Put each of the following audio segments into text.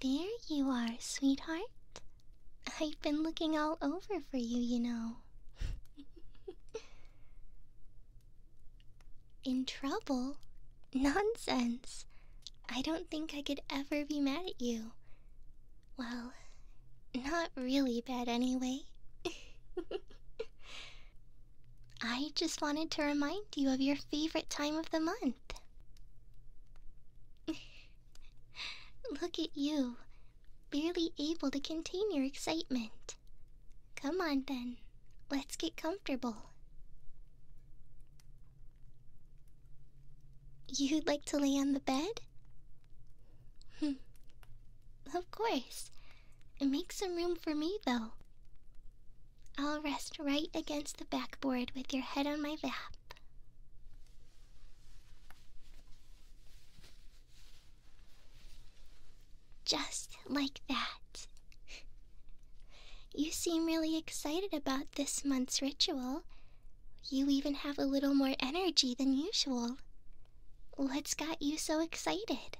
There you are, sweetheart. I've been looking all over for you, you know. In trouble? Nonsense. I don't think I could ever be mad at you. Well, not really bad anyway. I just wanted to remind you of your favorite time of the month. Look at you, barely able to contain your excitement. Come on then, let's get comfortable. You'd like to lay on the bed? Hmm. of course. Make some room for me, though. I'll rest right against the backboard with your head on my lap. Just like that. You seem really excited about this month's ritual. You even have a little more energy than usual. What's got you so excited?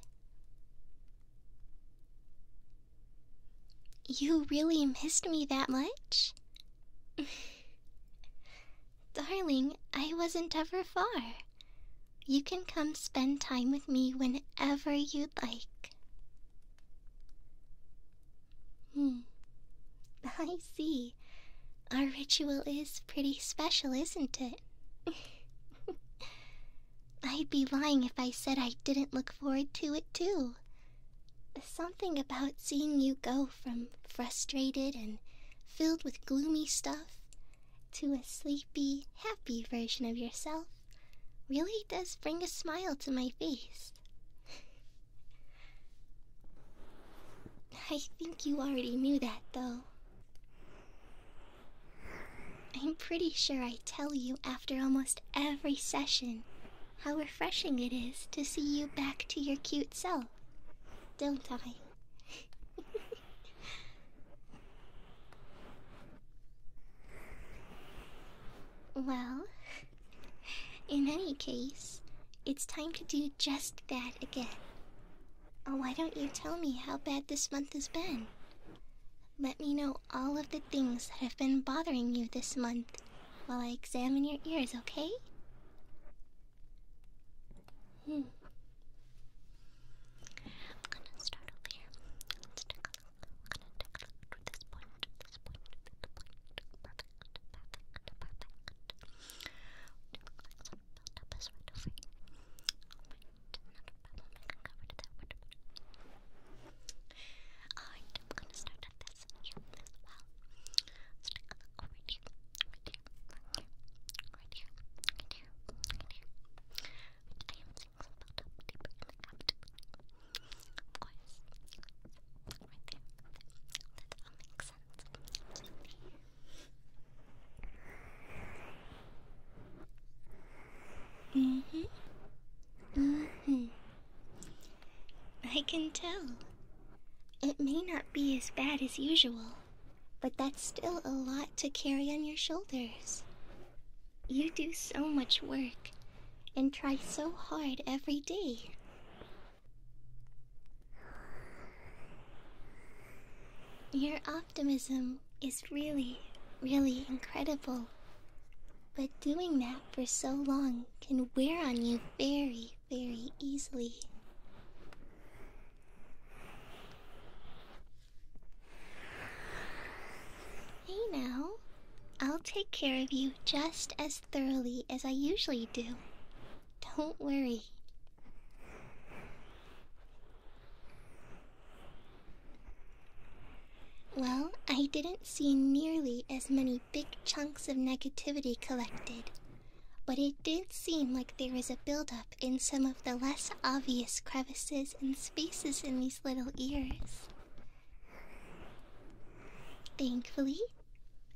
You really missed me that much? Darling, I wasn't ever far. You can come spend time with me whenever you'd like. Hmm. I see. Our ritual is pretty special, isn't it? I'd be lying if I said I didn't look forward to it too. Something about seeing you go from frustrated and filled with gloomy stuff to a sleepy, happy version of yourself really does bring a smile to my face. I think you already knew that, though. I'm pretty sure I tell you after almost every session how refreshing it is to see you back to your cute self, don't I? well, in any case, it's time to do just that again. Oh, why don't you tell me how bad this month has been? Let me know all of the things that have been bothering you this month while I examine your ears, okay? Hmm. I'm gonna start over here. Let's take gonna take a this point, this point, this point. Perfect, perfect, perfect. Looks like problem. I am gonna start at this well. let right here, right here, right here, right here, right here. I am seeing some built deeper Of course. Right there. That all makes sense hmm. hmm. I can tell. It may not be as bad as usual, but that's still a lot to carry on your shoulders. You do so much work and try so hard every day. Your optimism is really, really incredible. But doing that for so long can wear on you very, very easily. Hey now, I'll take care of you just as thoroughly as I usually do. Don't worry. Well, I didn't see nearly as many big chunks of negativity collected, but it did seem like there was a buildup in some of the less obvious crevices and spaces in these little ears. Thankfully,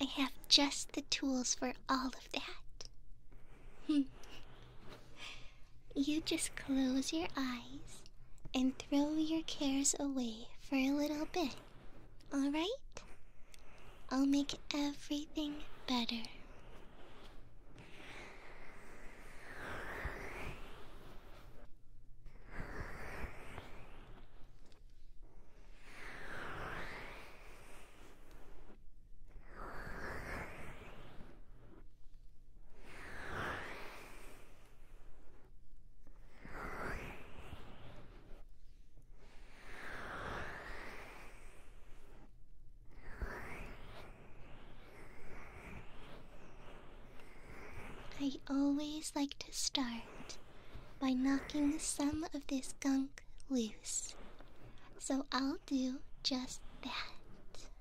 I have just the tools for all of that. You just close your eyes and throw your cares away for a little bit. Alright? I'll make everything better. I always like to start by knocking some of this gunk loose, so I'll do just that.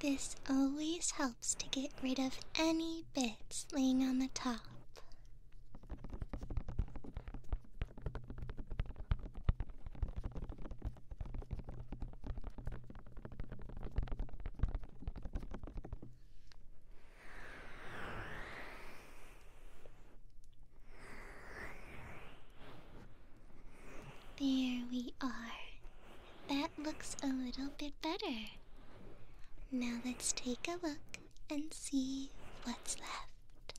This always helps to get rid of any bits laying on the top. There we are. That looks a little bit better. Now let's take a look and see what's left.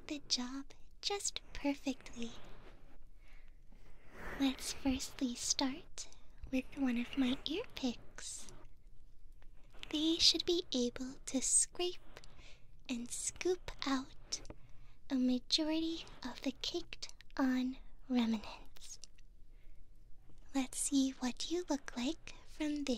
the job just perfectly. Let's firstly start with one of my ear picks. They should be able to scrape and scoop out a majority of the caked on remnants. Let's see what you look like from there.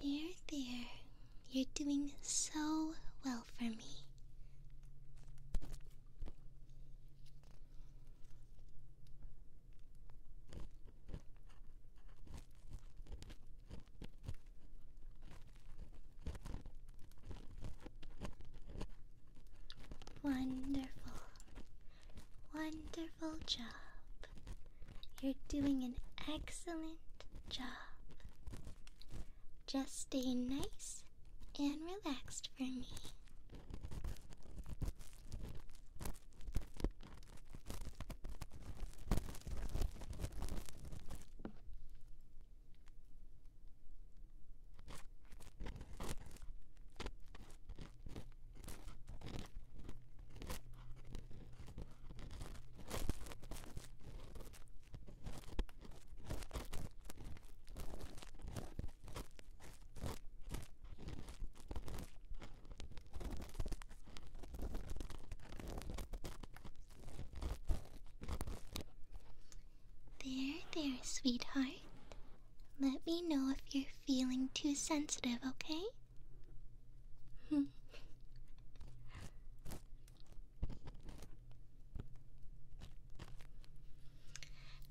There, there. You're doing so well for me. Wonderful. Wonderful job. You're doing an excellent job. Just stay nice and relaxed for me. There, there, sweetheart. Let me know if you're feeling too sensitive, okay?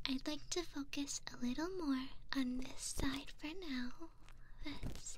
I'd like to focus a little more on this side for now. Let's see.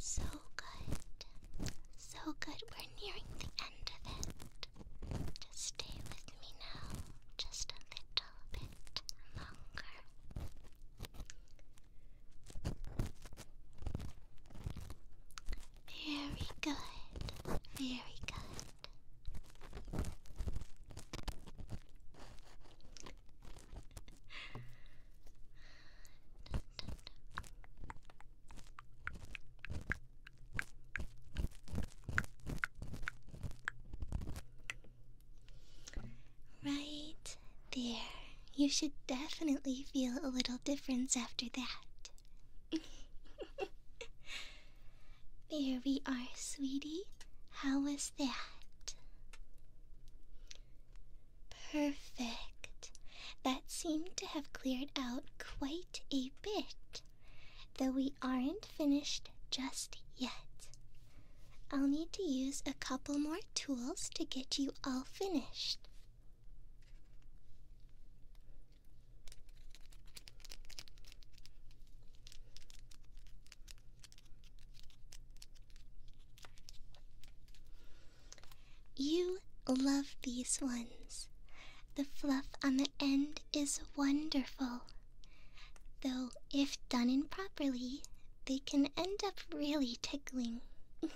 So good. So good. We're nearing the end of it. Just stay with me now, just a little bit longer. Very good, very good. Right there. You should definitely feel a little difference after that. there we are, sweetie. How was that? Perfect. That seemed to have cleared out quite a bit. Though we aren't finished just yet. I'll need to use a couple more tools to get you all finished. You love these ones. The fluff on the end is wonderful. Though, if done improperly, they can end up really tickling.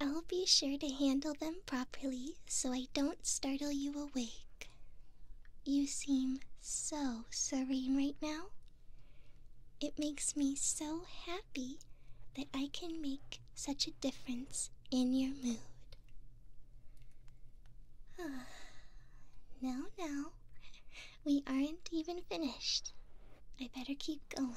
I'll be sure to handle them properly so I don't startle you awake. You seem so serene right now. It makes me so happy that I can make such a difference in your mood. No, no, we aren't even finished. I better keep going.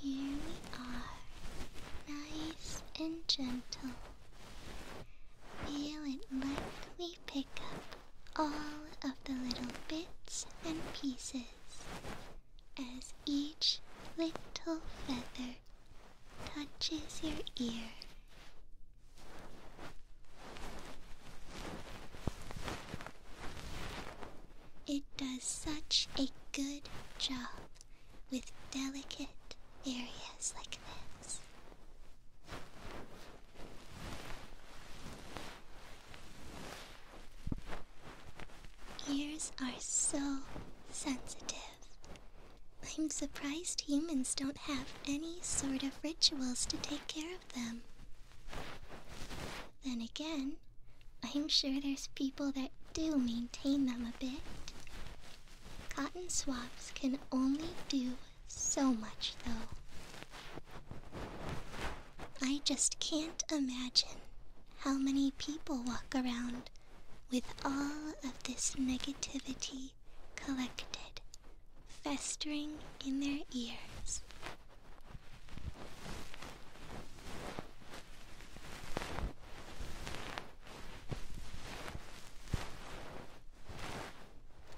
Here we are, nice and gentle. You would likely pick up all of the little bits and pieces as each little feather touches your ear. It does such a good job with delicate areas like this. Ears are so sensitive. I'm surprised humans don't have any sort of rituals to take care of them. Then again, I'm sure there's people that do maintain them a bit. Cotton swabs can only do so much, though. I just can't imagine how many people walk around with all of this negativity collected, festering in their ears.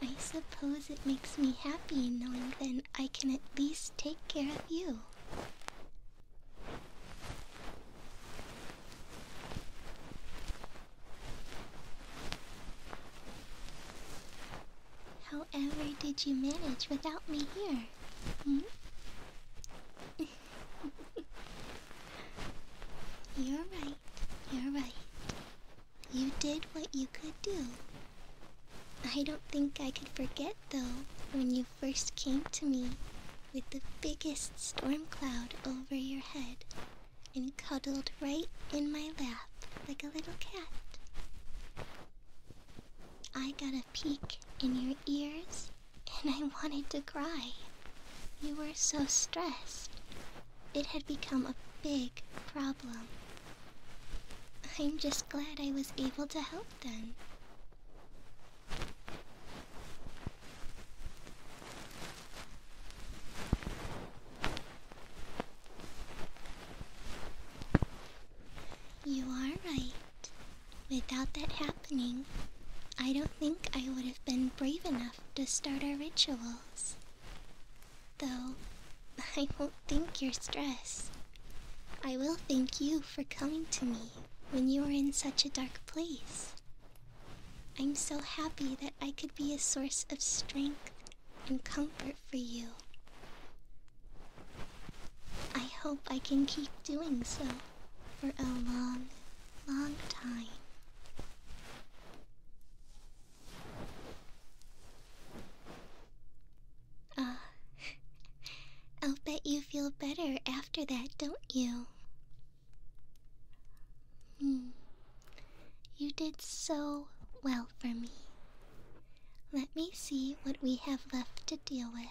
I suppose it makes me happy knowing then I can at least take care of you. However, did you manage without me here? Hmm? you're right. You're right. You did what you could do. I don't think I could forget, though, when you first came to me with the biggest storm cloud over your head and cuddled right in my lap like a little cat. I got a peek in your ears and I wanted to cry. You were so stressed. It had become a big problem. I'm just glad I was able to help them. You are right. Without that happening, I don't think I would have been brave enough to start our rituals. Though, I won't thank your stress. I will thank you for coming to me when you were in such a dark place. I'm so happy that I could be a source of strength and comfort for you. I hope I can keep doing so for a long, long time. Ah, I'll bet you feel better after that, don't you? Hmm. You did so well for me. Let me see what we have left to deal with.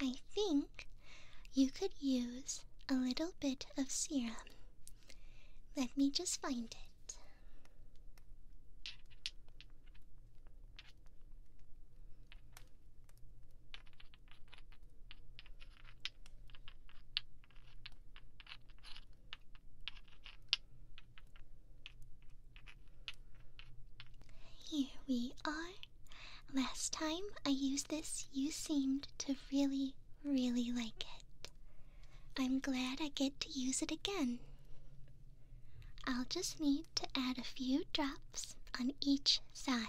I think you could use a little bit of serum. Let me just find it. Here we are. Last time I used this, you seemed to really, really like it. I'm glad I get to use it again. I'll just need to add a few drops on each side.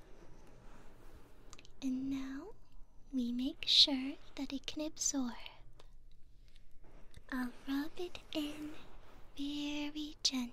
And now we make sure that it can absorb. I'll rub it in very gently.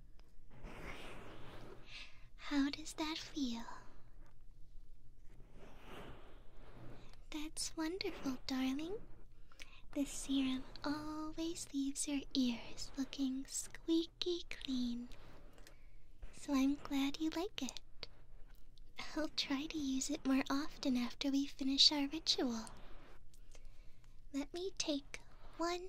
How does that feel? That's wonderful, darling. The serum always leaves your ears looking squeaky clean. So I'm glad you like it. I'll try to use it more often after we finish our ritual. Let me take one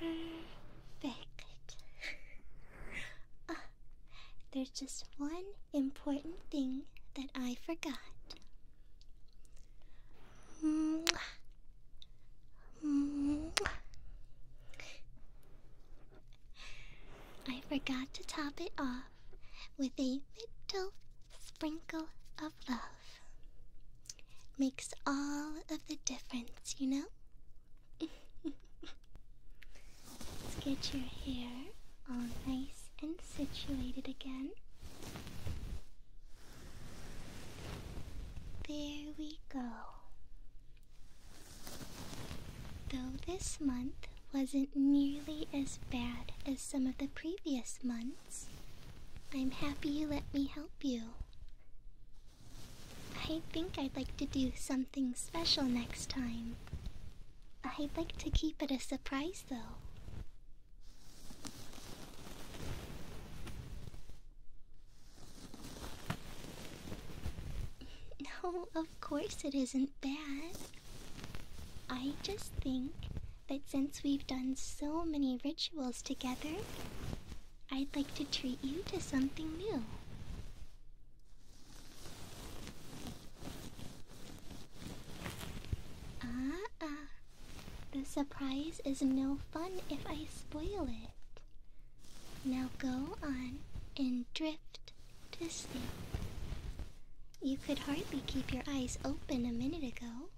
Very oh, there's just one important thing that I forgot. I forgot to top it off with a little sprinkle of love. Makes all of the difference, you know? Let's get your hair all nice and situated again. There we go. Though this month wasn't nearly as bad as some of the previous months, I'm happy you let me help you. I think I'd like to do something special next time. I'd like to keep it a surprise, though. No, of course it isn't bad. I just think that since we've done so many rituals together, I'd like to treat you to something new. Ah, ah. The surprise is no fun if I spoil it. Now go on and drift to sleep. You could hardly keep your eyes open a minute ago.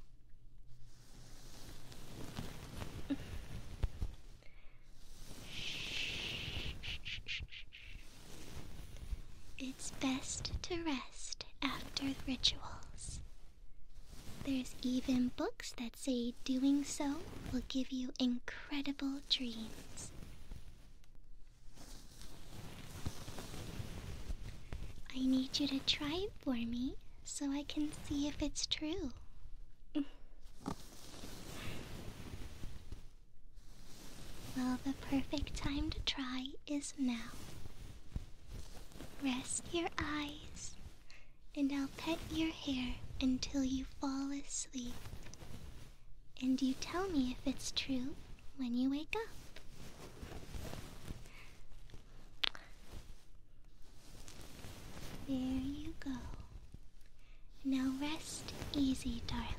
It's best to rest after rituals. There's even books that say doing so will give you incredible dreams. I need you to try it for me so I can see if it's true. Well, the perfect time to try is now. Rest your eyes, and I'll pet your hair until you fall asleep. And you tell me if it's true when you wake up. There you go. Now rest easy, darling.